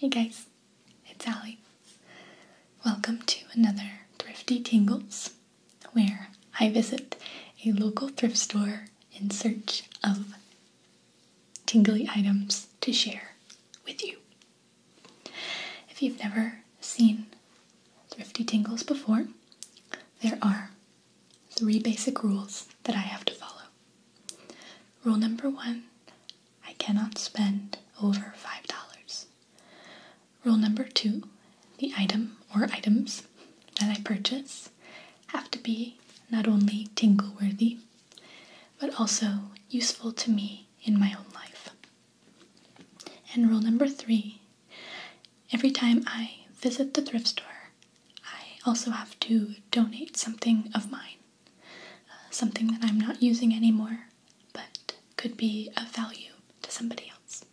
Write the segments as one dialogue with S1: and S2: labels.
S1: Hey guys, it's Ali. Welcome to another Thrifty Tingles, where I visit a local thrift store in search of tingly items to share with you. If you've never seen Thrifty Tingles before, there are three basic rules that I have to follow. Rule number one I cannot spend over $5. Rule number two the item or items that I purchase have to be not only tingle worthy, but also useful to me in my own life. And rule number three every time I visit the thrift store, I also have to donate something of mine, uh, something that I'm not using anymore but could be of value to somebody else.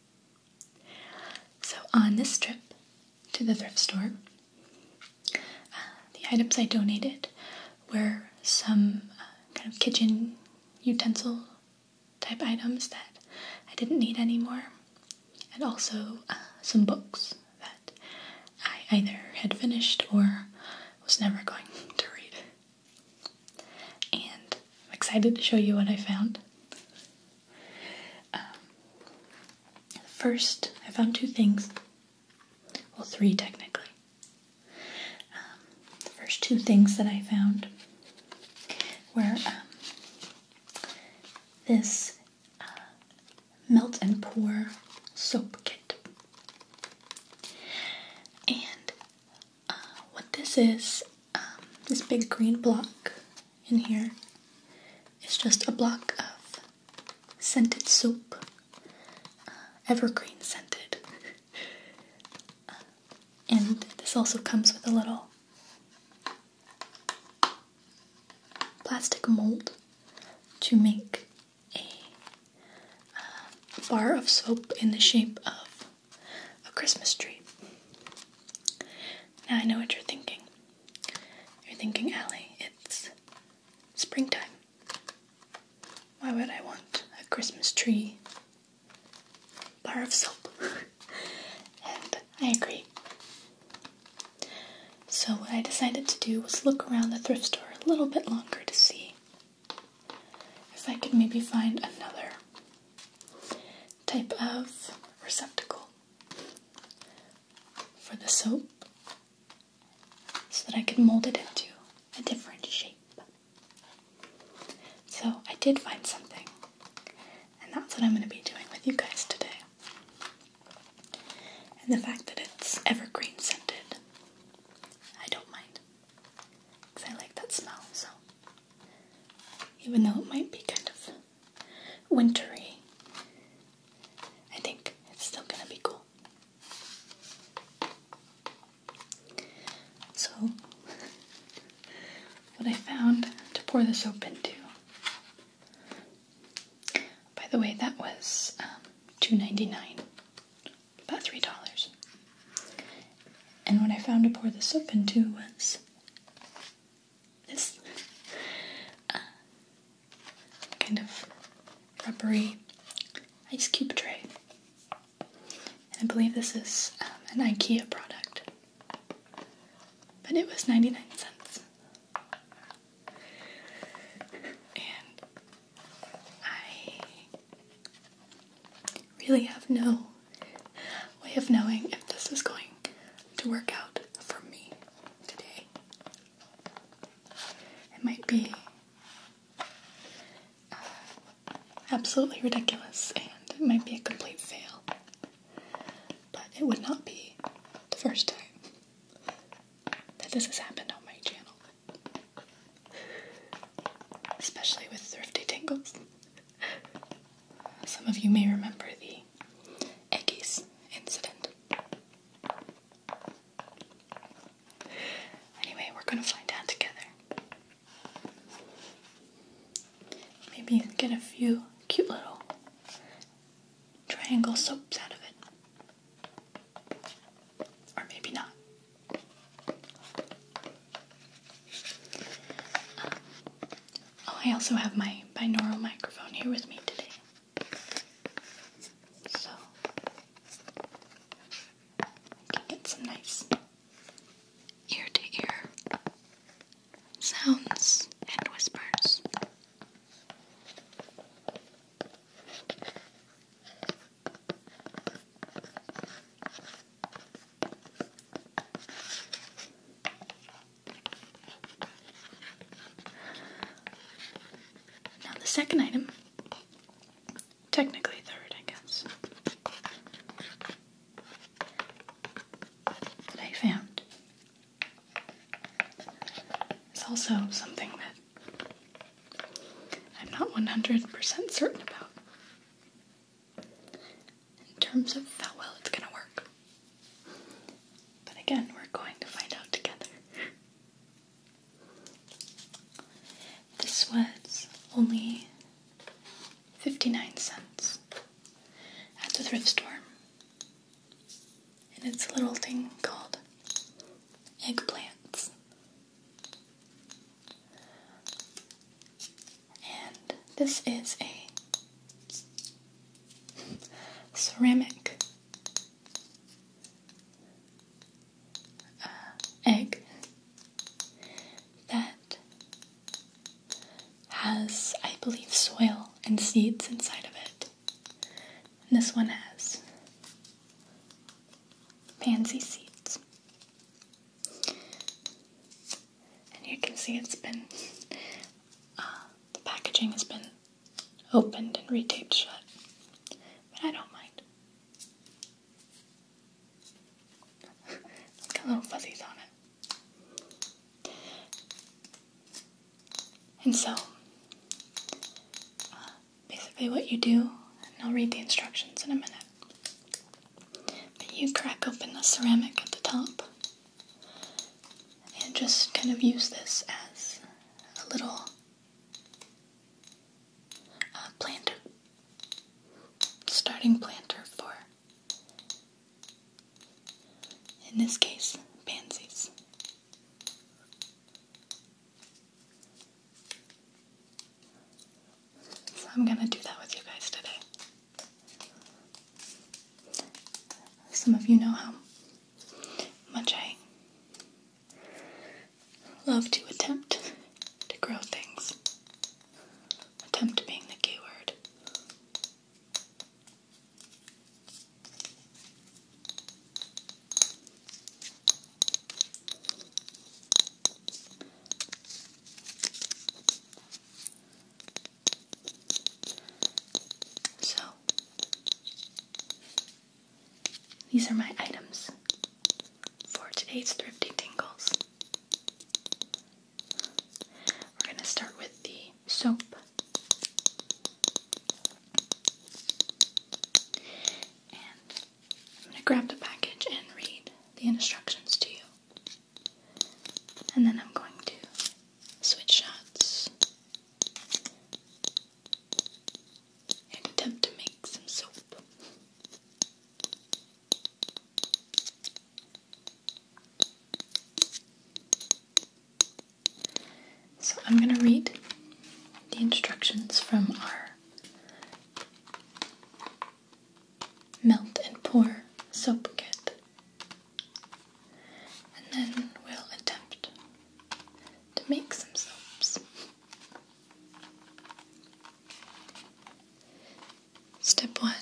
S1: So on this trip to the thrift store, uh, the items I donated were some uh, kind of kitchen utensil type items that I didn't need anymore, and also uh, some books that I either had finished or was never going to read. And I'm excited to show you what I found. Um, first, I found two things well, three technically. Um, the first two things that I found were um, this uh, melt and pour soap kit. And uh, what this is, um, this big green block in here, is just a block of scented soap, uh, evergreen scented and this also comes with a little plastic mold to make a uh, bar of soap in the shape of a Christmas tree. Now I know what you're thinking. You're thinking, Allie, it's springtime. Why would I want a Christmas tree? Bar of soap. and I agree. So, what I decided to do was look around the thrift store a little bit longer to see if I could maybe find another type of receptacle for the soap so that I could mold it into a different shape. So I did find something, and that's what I'm going to be doing with you guys today. And the fact that it's evergreen scented, I don't mind, because I like that smell, so even though it might be kind of wintry, I think it's still gonna be cool. So, what I found to pour the soap into. By the way, that was um, $2.99, about $3. And what I found to pour the soap into was this uh, kind of rubbery ice cube tray. I believe this is um, an IKEA product. But it was 99 cents. And I really have no way of knowing if this is going to work out for me today. It might be absolutely ridiculous and it might be a complete fail. But it would not be the first time that this has happened on my channel. Especially with Thrifty Tingles. Some of you may remember the Eggies incident. Anyway, we're gonna find out together. Maybe get a few cute little triangle soaps out of it. Or maybe not. Um, oh, I also have my binaural microphone here with me today. So, get some nice ear to ear sounds and whispers. Now, the second item Technically third, I guess. That I found. It's also something that I'm not 100% certain about. In terms of how well it's gonna work. But again, we're going to find out together. This was only 59 cents at the thrift store. And it's a little thing called eggplants. And this is a ceramic uh, egg that has, I believe, soil and seeds inside of it. this one has pansy seeds. And you can see it's been, uh, the packaging has been opened and retaped shut. But I don't mind got little fuzzies on it. And so, uh, basically, what you do, and I'll read the instructions in a minute, but you crack open the ceramic at the top and just kind of use this as a little uh, planter. Starting planter for, in this case, pansies. So I'm gonna do that with you guys today. Some of you know how much I love to attempt to grow things. Attempt being the key So, these are my items for today's thrifty tingles. We're going to start with the soap. And I'm going to grab the package and read the instructions to you. And then I'm going to switch shots and attempt to make some soap. So I'm going to read the instructions from our melt and pour soap kit. And then we'll attempt to make some soaps. Step 1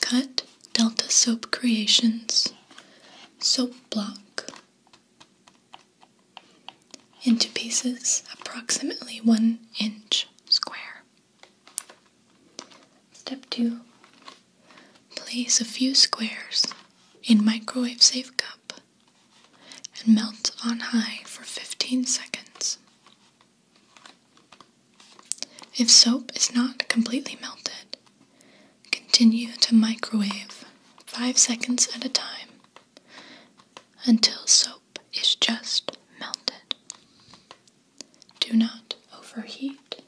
S1: Cut Delta Soap Creations soap block into pieces approximately 1 inch square. Step 2 Place a few squares in microwave safe cup and melt on high for 15 seconds. If soap is not completely melted, continue to microwave 5 seconds at a time until soap is just melted. Do not overheat.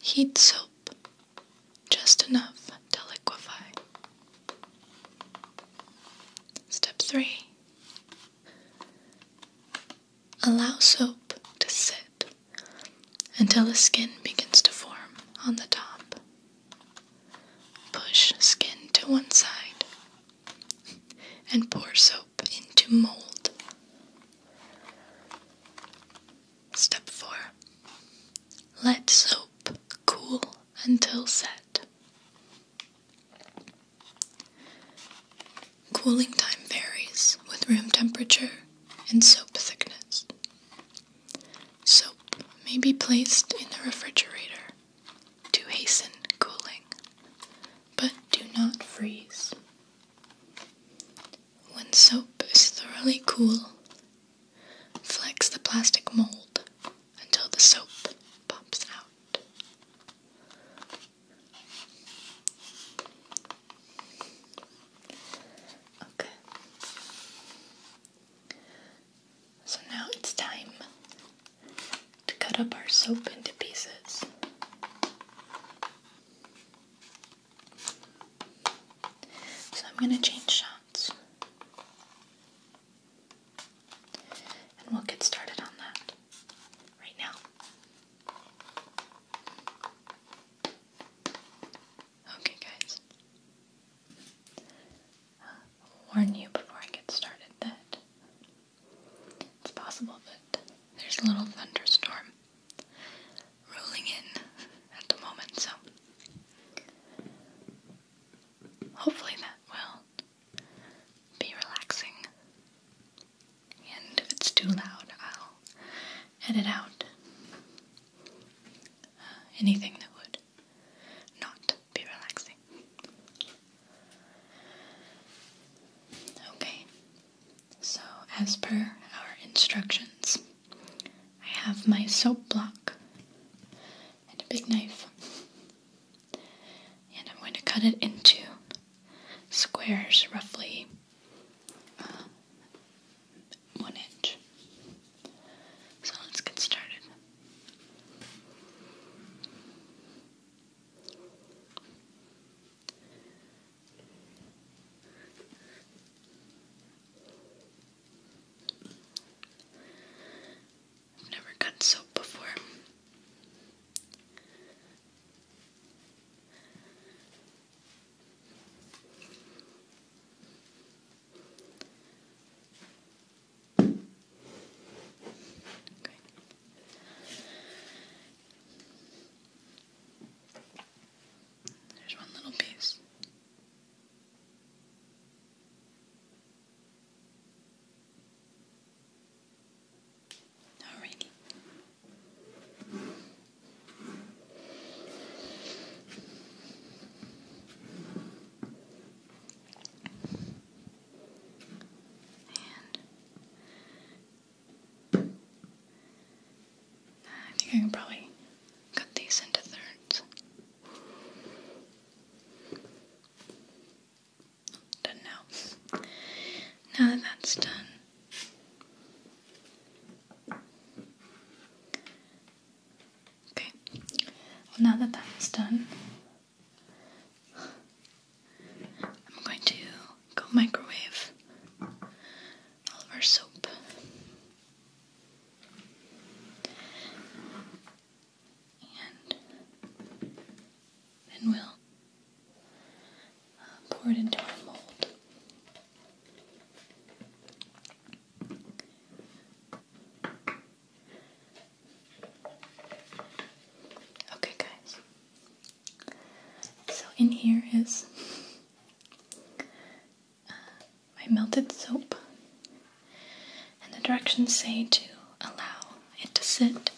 S1: Heat soap just enough to liquefy. Step 3 Allow soap to sit until a skin begins to form on the top. Push skin to one side and pour soap into mold. Step 4. Let soap cool until set. Cooling time varies with room temperature and soap thickness. Soap may be placed in the refrigerator to hasten cooling, but do not freeze. When soap is thoroughly cool, flex the plastic mold until the soap pops out. Okay. So now it's time to cut up our soap into pieces. So I'm going to change shots. And we'll get started on that right now. Okay, guys. warn you before I get started that it's possible that there's a little thunderstorm rolling in at the moment, so hopefully that will be relaxing. And if it's too loud, I'll edit out uh, anything that would not be relaxing. Okay, so as per our instructions, I have my soap block and a big knife. And I'm going to cut it into squares, roughly uh, one inch. So let's get started. I've never cut soap before. Okay. There's one little piece. Alrighty. I think I can probably cut these into thirds. Done now. Now that that's done. Okay. now that that's done, I'm going to go microwave all of our soap and then we'll uh, pour it into our mold. Okay, guys. So in here is uh, my melted soap and the directions say to allow it to sit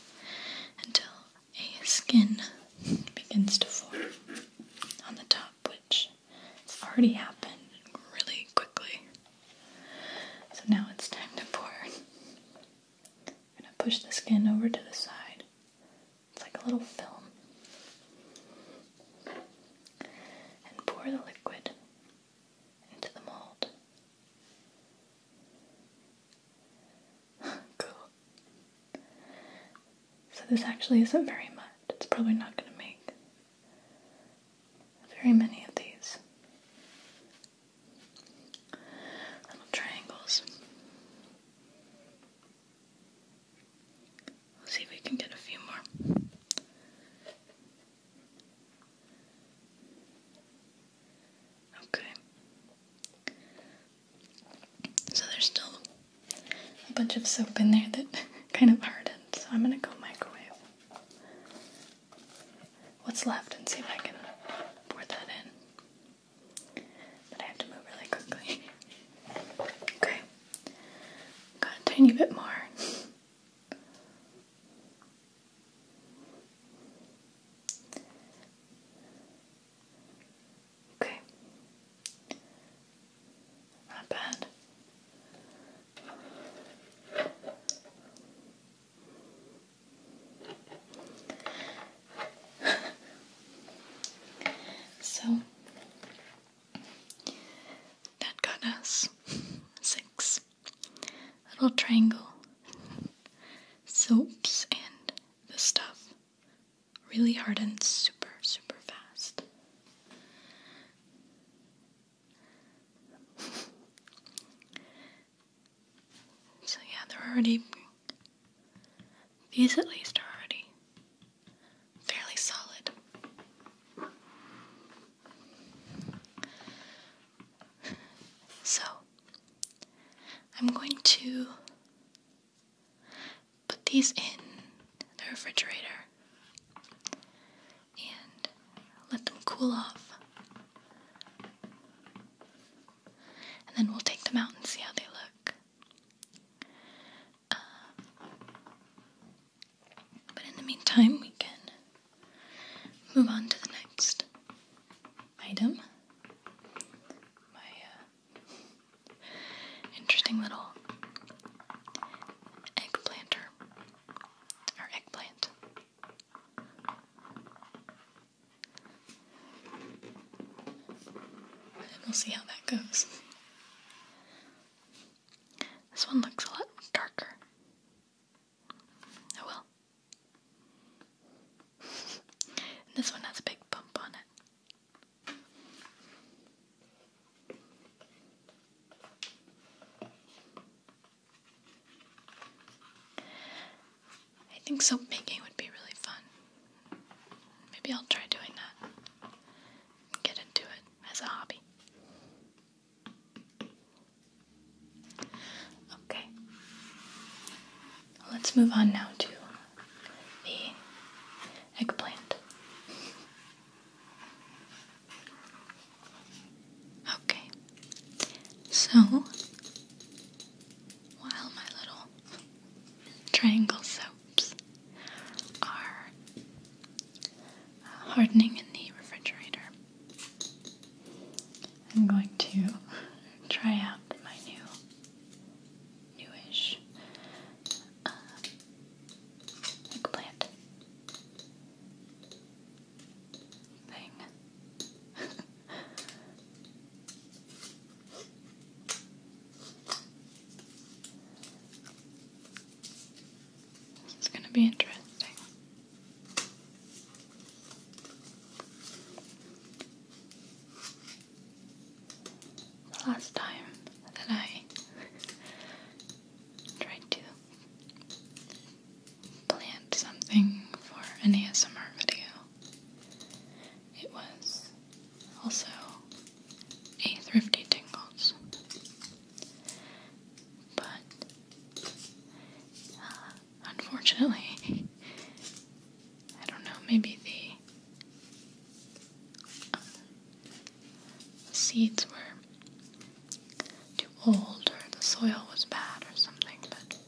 S1: until a skin begins to form on the top, which has already happened really quickly. So now it's time to pour. I'm gonna push the skin over to the side. It's like a little film. And pour the liquid into the mold. cool. So this actually isn't very much. It's probably not going to make very many of these little triangles. We'll see if we can get a few more. Okay. So there's still a bunch of soap in there that kind of hardened, so I'm gonna go microwave what's left and see if I can pour that in. But I have to move really quickly. okay. Got a tiny bit more. Okay. Not bad. so that got us six. Little triangle soaps and the stuff really hardens super, super fast. so, yeah, they're already. These at least are already fairly solid. So, I'm going to put these in the refrigerator and let them cool off. And then we'll take them out and see how they look. Uh, but in the meantime, we can move on to the next item my uh, interesting little eggplanter or eggplant. And we'll see how that goes. This one looks a lot darker. Oh well. And this one has a big bump on it. I think soap making would be really fun. Maybe I'll try doing that. Get into it as a hobby. Okay. Let's move on now to the eggplant. Okay. So, while my little triangle soaps are hardening in the refrigerator, I'm going to try out my new, newish uh, eggplant thing. this going to be interesting the last time that I tried to plant something for an ASMR video. It was also a thrifty tingles. But uh, unfortunately. I don't know, maybe the uh, seeds were too old or the soil was bad or something, but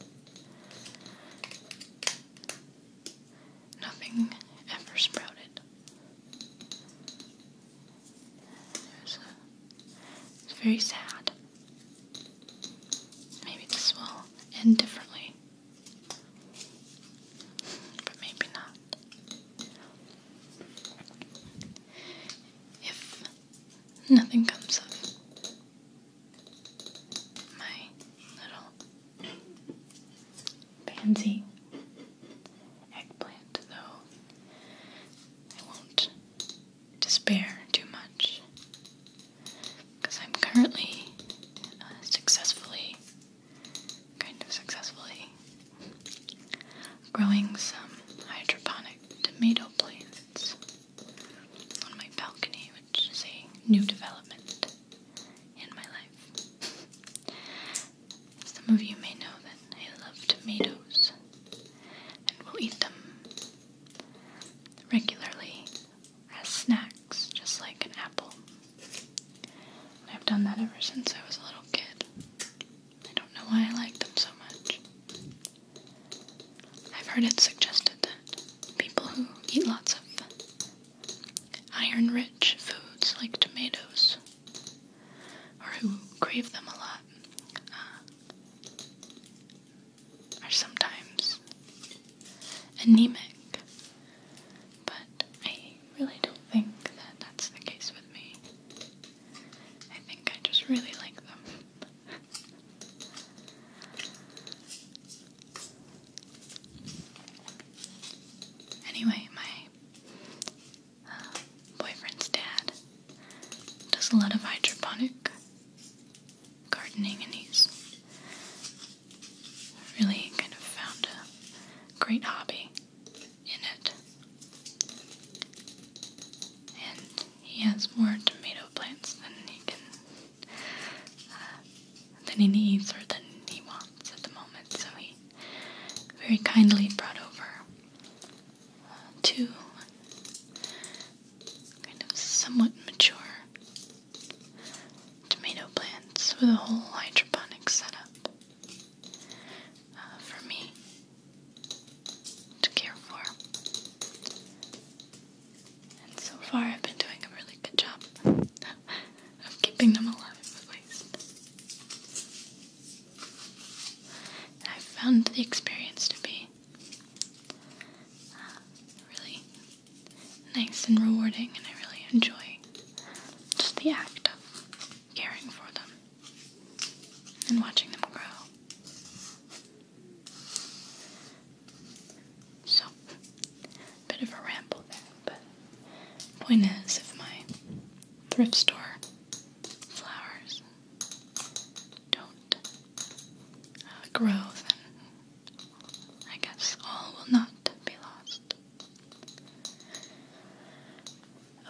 S1: nothing ever sprouted. It's uh, very sad. Maybe this will end differently. But maybe not. If nothing comes of my little pansy eggplant, though I won't despair too much because I'm currently uh, successfully, kind of successfully, growing some hydroponic tomato plants on my balcony, which is a new development in my life. Some of you may know that I love tomatoes and will eat them regularly as snacks, just like an apple. And I've done that ever since I was a little kid. I don't know why I like them so much. I've heard it suggested that people who eat lots of iron rich foods like tomatoes, or who crave them a lot, uh, are sometimes anemic, but I really don't think that that's the case with me. I think I just really like them. anyway, my uh, boyfriend's dad does a lot of hydroponic gardening and he's really kind of found a great hobby in it. And he has more tomato plants than he can, uh, than he needs or than he wants at the moment. So he very kindly brought over uh, two kind of somewhat mature tomato plants with a whole hydroponic setup uh, for me to care for. And so far, I've been doing a really good job of keeping them alive, at least. I've found the experience to be uh, really nice and rewarding, and I really enjoy just the act of caring for them and watching them grow. So, bit of a ramble there, but point is, if my thrift store flowers don't uh, grow, I guess all will not be lost.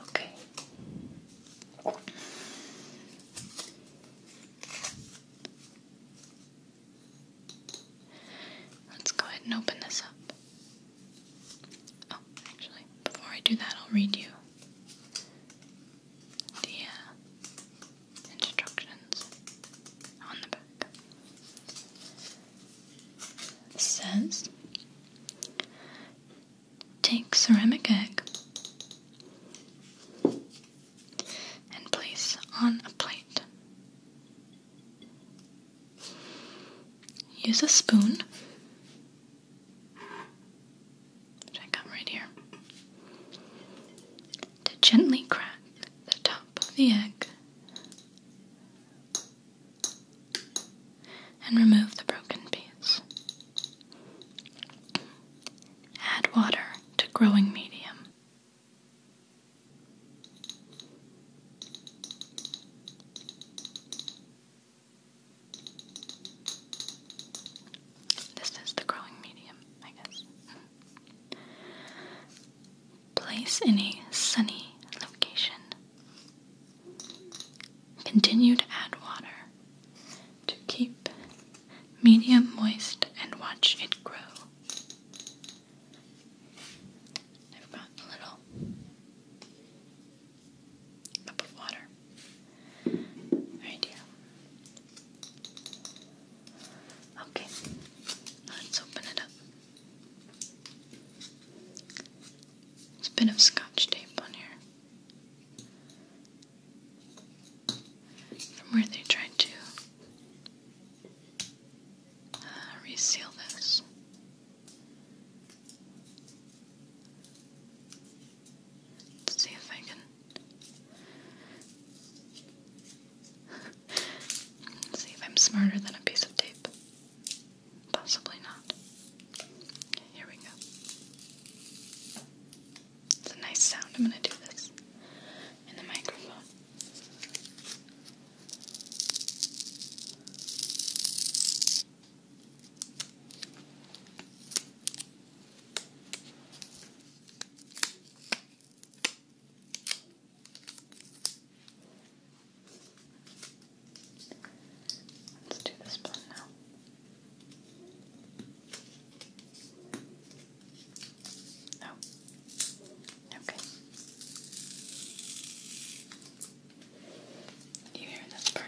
S1: Okay. Let's go ahead and open this up. Oh, actually, before I do that, I'll read you the instructions on the back. It says take ceramic egg and place on a plate. Use a spoon, which I got right here, to gently crack the top the egg and remove the broken piece. Add water to growing medium. This is the growing medium, I guess. Place in a sunny location. Continue to add water to keep medium moist and watch it grow. I've a little cup of water right here. Okay, let's open it up. There's a bit of scotch tape on here from where they tried to uh, reseal this. Let's see if I can See if I'm smarter than a piece of tape. Possibly not. here we go. It's a nice sound. I'm going to do this in the microphone. Let's do this blend now. Oh, okay. You hear this part?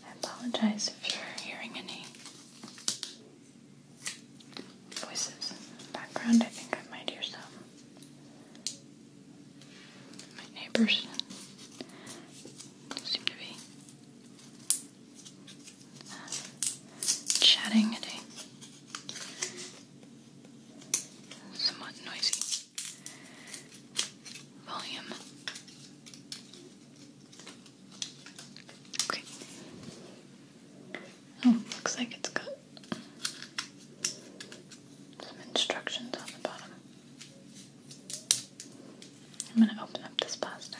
S1: I apologize if you're hearing any voices in the background. I think I might hear some my neighbors seem to be uh, chatting somewhat noisy volume. Okay. Oh, looks like it's some instructions on the bottom. I'm going to open up this plastic.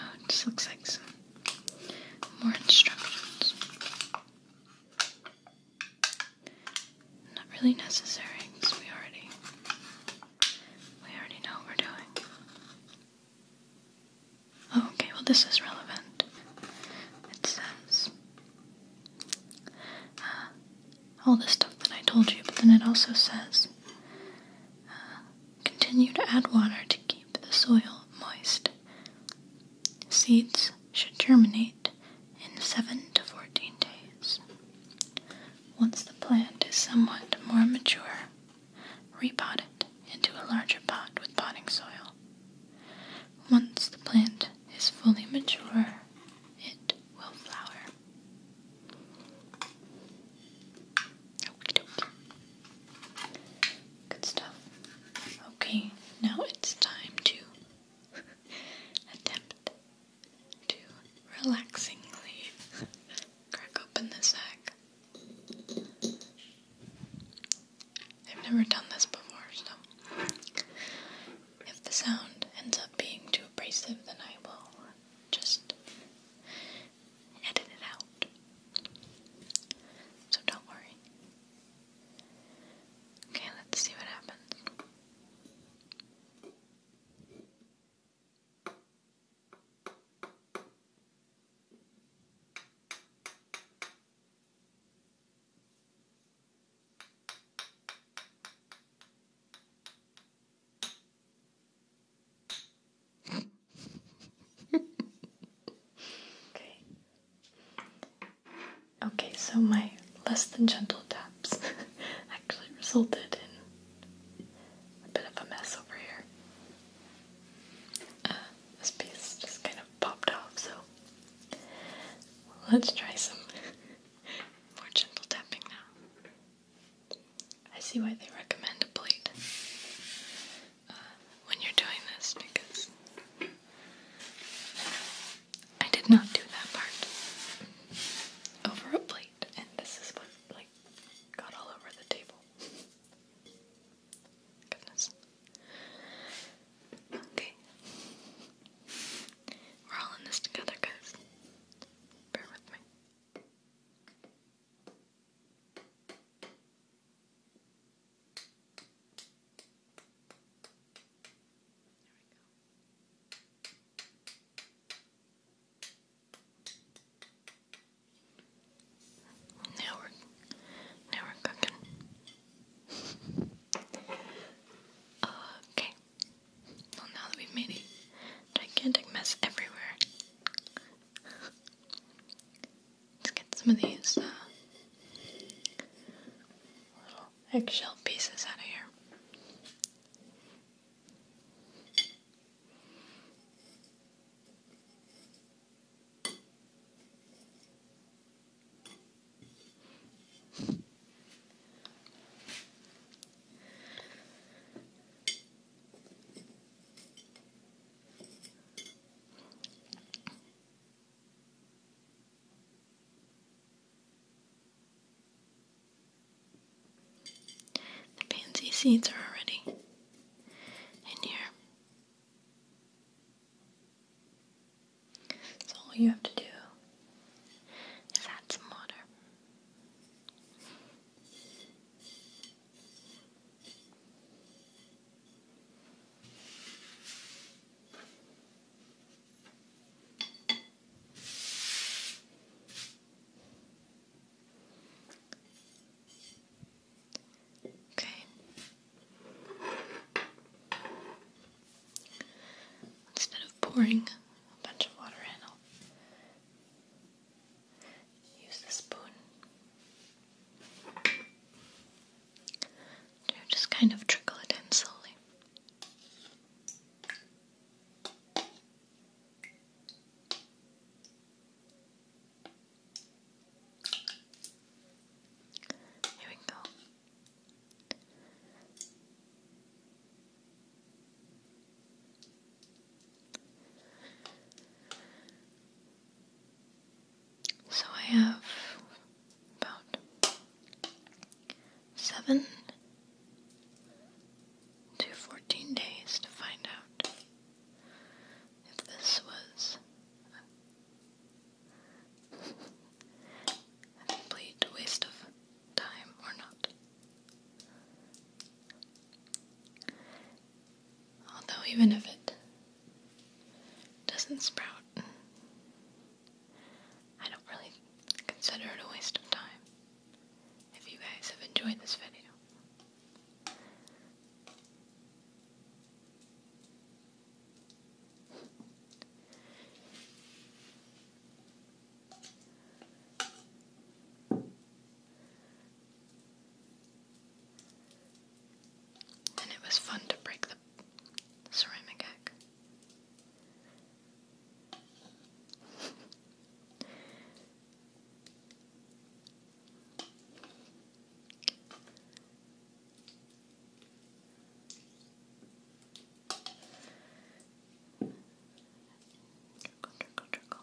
S1: Oh, it just looks like some more instructions. Not really necessary because we already we already know what we're doing okay, well, this is relevant. It says uh, all the stuff that I told you, but then it also says uh, continue to add water to keep the soil moist. Seeds should germinate in 7 to 14 days. Once the plant is somewhat more mature, repot it into a larger pot with potting soil. Once the plant is fully mature, it will flower. Okie dokie. Good stuff. Okay, now it's time to attempt to relaxingly crack open the sack. I've never done this before, so if the sound ends up being too abrasive, then I will just edit it out. So don't worry. Okay, let's see what happens okay. Okay, so my less than gentle taps actually resulted in a bit of a mess over here. Uh, this piece just kind of popped off, so Let's try some more gentle tapping now. I see why they recommend a plate uh, when you're doing this because I did not do that part over a plate, and this is what like got all over the table. Goodness. Okay. We're all in this together, guys. Bear with me. There we go. Now we're now we're cooking. Okay. Well, now that we've made a gigantic mess everywhere, let's get some of these uh, eggshell pieces out of here. The pansy seeds are already in here. So all you have to do is add some water. Okay, Instead of pouring a bunch of water in, I'll use the spoon to just kind of trickle it in slowly. Here we go. So I have about seven to fourteen days to find out if this was a complete waste of time or not. Although, even if it doesn't sprout, I don't really consider it a waste of time if you guys have enjoyed this video. And it was fun to break the ceramic egg. Trickle, trickle, trickle.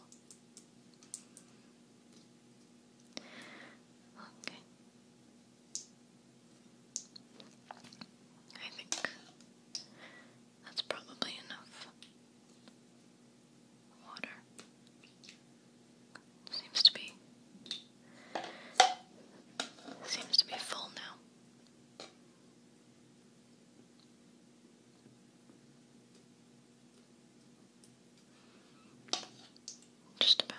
S1: Okay. I think that's probably enough water. Seems to be Seems to be full now. Just about.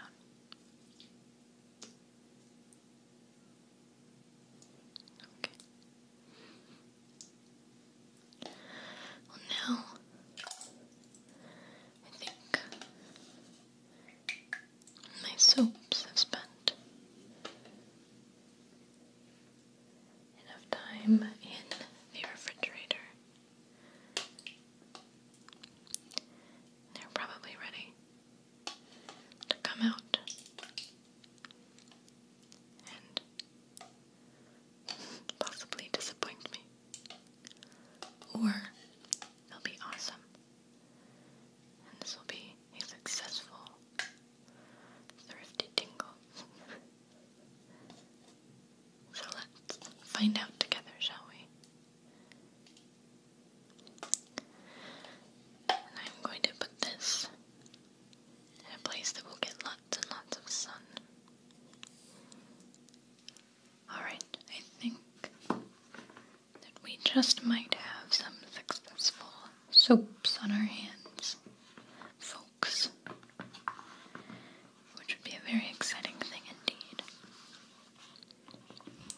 S1: Okay. Well, now I think my soaps have spent enough time in the refrigerator. They're probably ready to come out and possibly disappoint me. Or they'll be awesome. And this will be a successful thrifty tingle. so let's find out together, shall we? I'm going to put this in a place that will get lots and lots of sun. Alright, I think that we just might have some successful soaps on our hands, folks, which would be a very exciting thing indeed.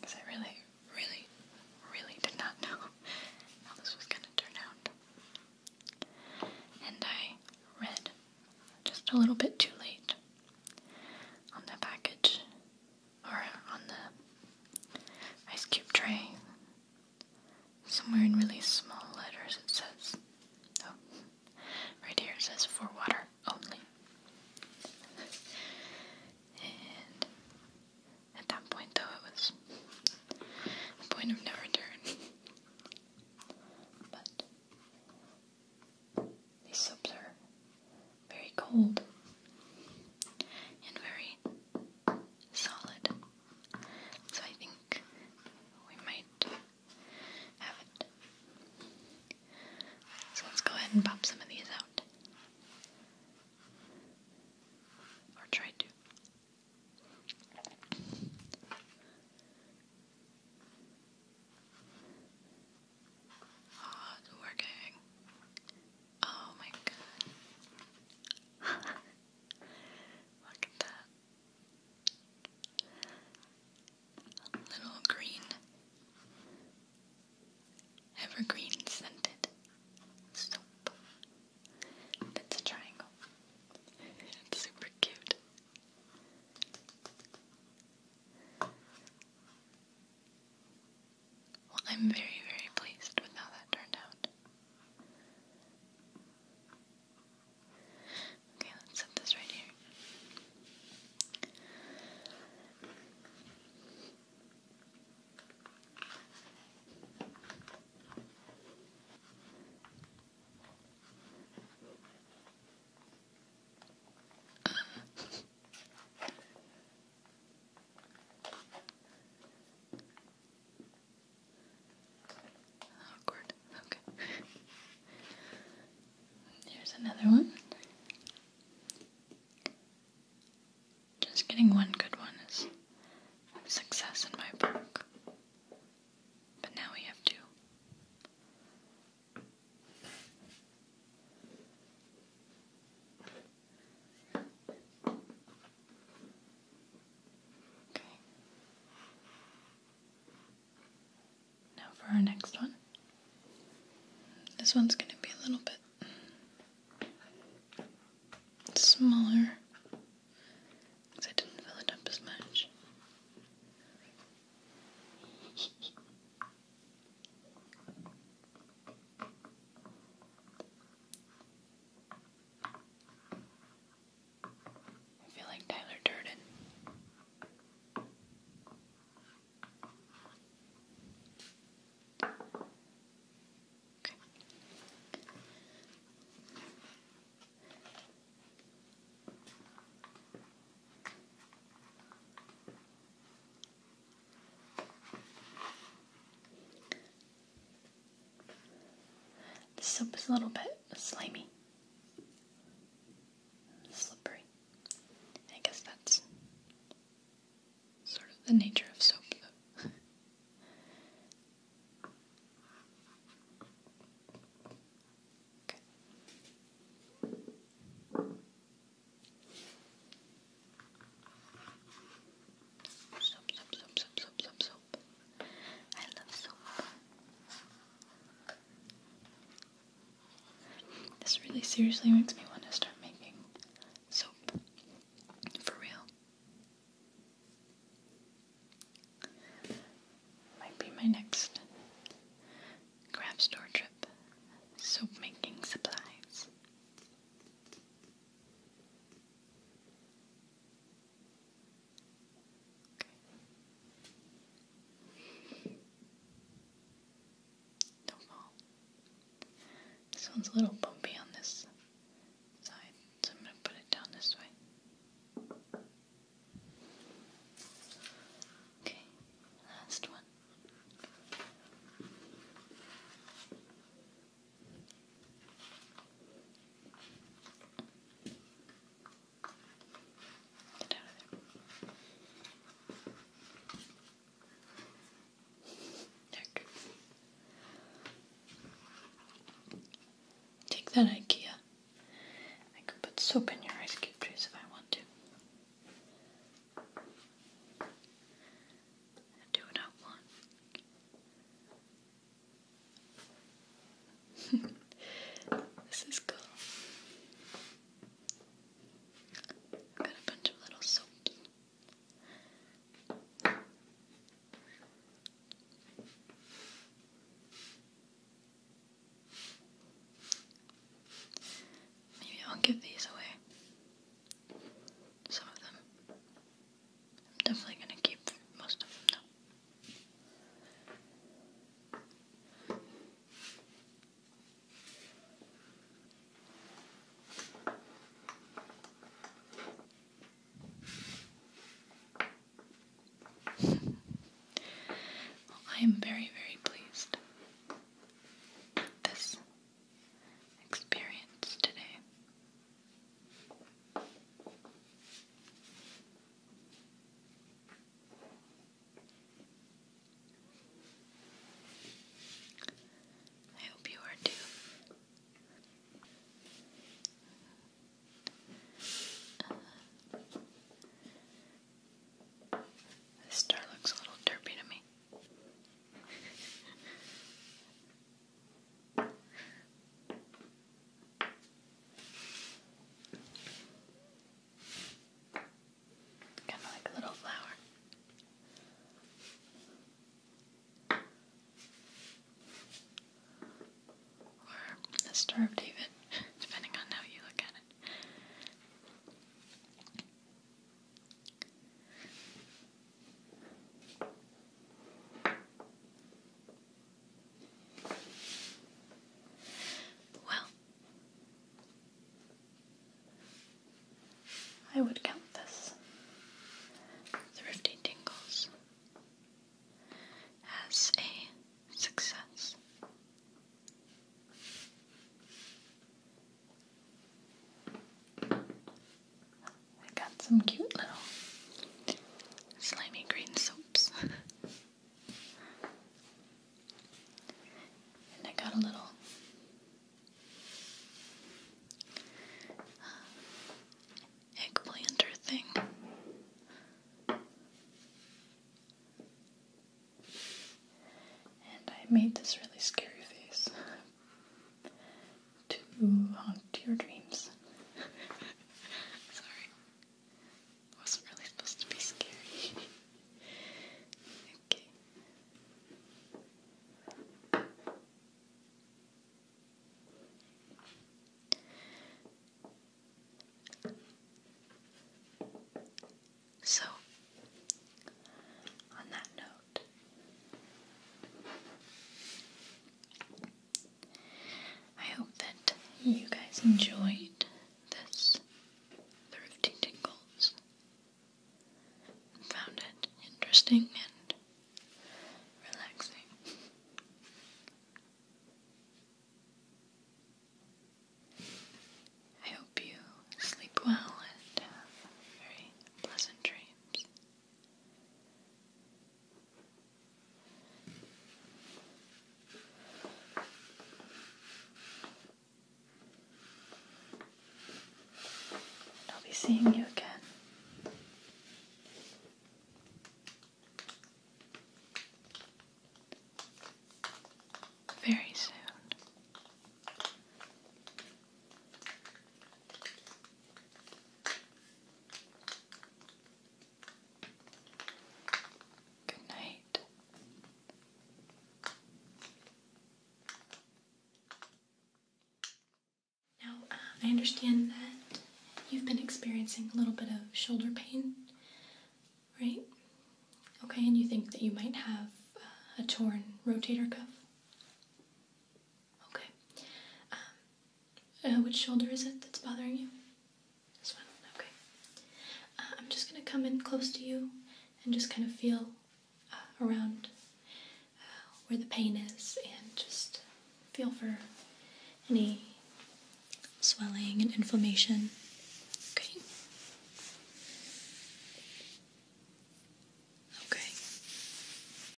S1: Because I really, really, really did not know how this was going to turn out. And I read just a little bit too late on the package or on the ice cube tray. Somewhere in really small letters it says, oh, right here it says for water only. and at that point though it was a point of no return. but these soaps are very cold and very solid. So I think we might have it. So let's go ahead and pop some of these out. Or try to. Oh, it's working. Oh my god. Look at that. little green. Evergreen scented soap. That's a triangle. It's super cute. Well, I'm very, very pleased with how that turned out. Okay, let's set this right here. Awkward. Okay. Here's another one. Just getting one good one is success in my book. But now we have two. Now for our next one. This one's going to be a little bit smaller because I didn't fill it up as much. I feel like Tyler Durden. Okay. The soap is a little bit slimy, slippery. I guess that's sort of the nature of soap, Soap, soap, soap, soap, soap, soap, soap. I love soap. This really seriously makes me want to start making soap. For real. Might be my next craft store trip. Soap making supplies. Don't fall. This one's a little bumpy on this side, so I'm going to put it down this way. Okay, last one. Take that IKEA. I could put soap in your ice cube juice if I want to do what I want. this is cool. got a bunch of little soaps. Maybe I'll give these away. Some of them. I'm definitely gonna keep most of them though. I am very, very pleased with this experience today. I hope you are too. Uh, this star looks a little derpy to me. Kind of like a little flower. Or a star David, depending on how you look at it. Well, I would count this Thrifty Tingles as a success. I got some cute little slimy green soaps. and I got a little uh, eggplanter thing. And I made this really scary face to haunt your dreams. Sorry. Wasn't really supposed to be scary. okay. So, on that note, I hope that you guys enjoyed this Thrifty Tingles found it interesting and relaxing. I hope you sleep well and have very pleasant dreams. I'll be seeing you again. Very soon. Good night. Now, uh, I understand that you've been experiencing a little bit of shoulder pain, right? Okay, and you think that you might have uh, a torn rotator cuff? Okay. Um, uh, which shoulder is it that's bothering you? This one, okay. Uh, I'm just gonna come in close to you and just kind of feel uh, around where the pain is and just feel for any swelling and inflammation. Okay. Okay.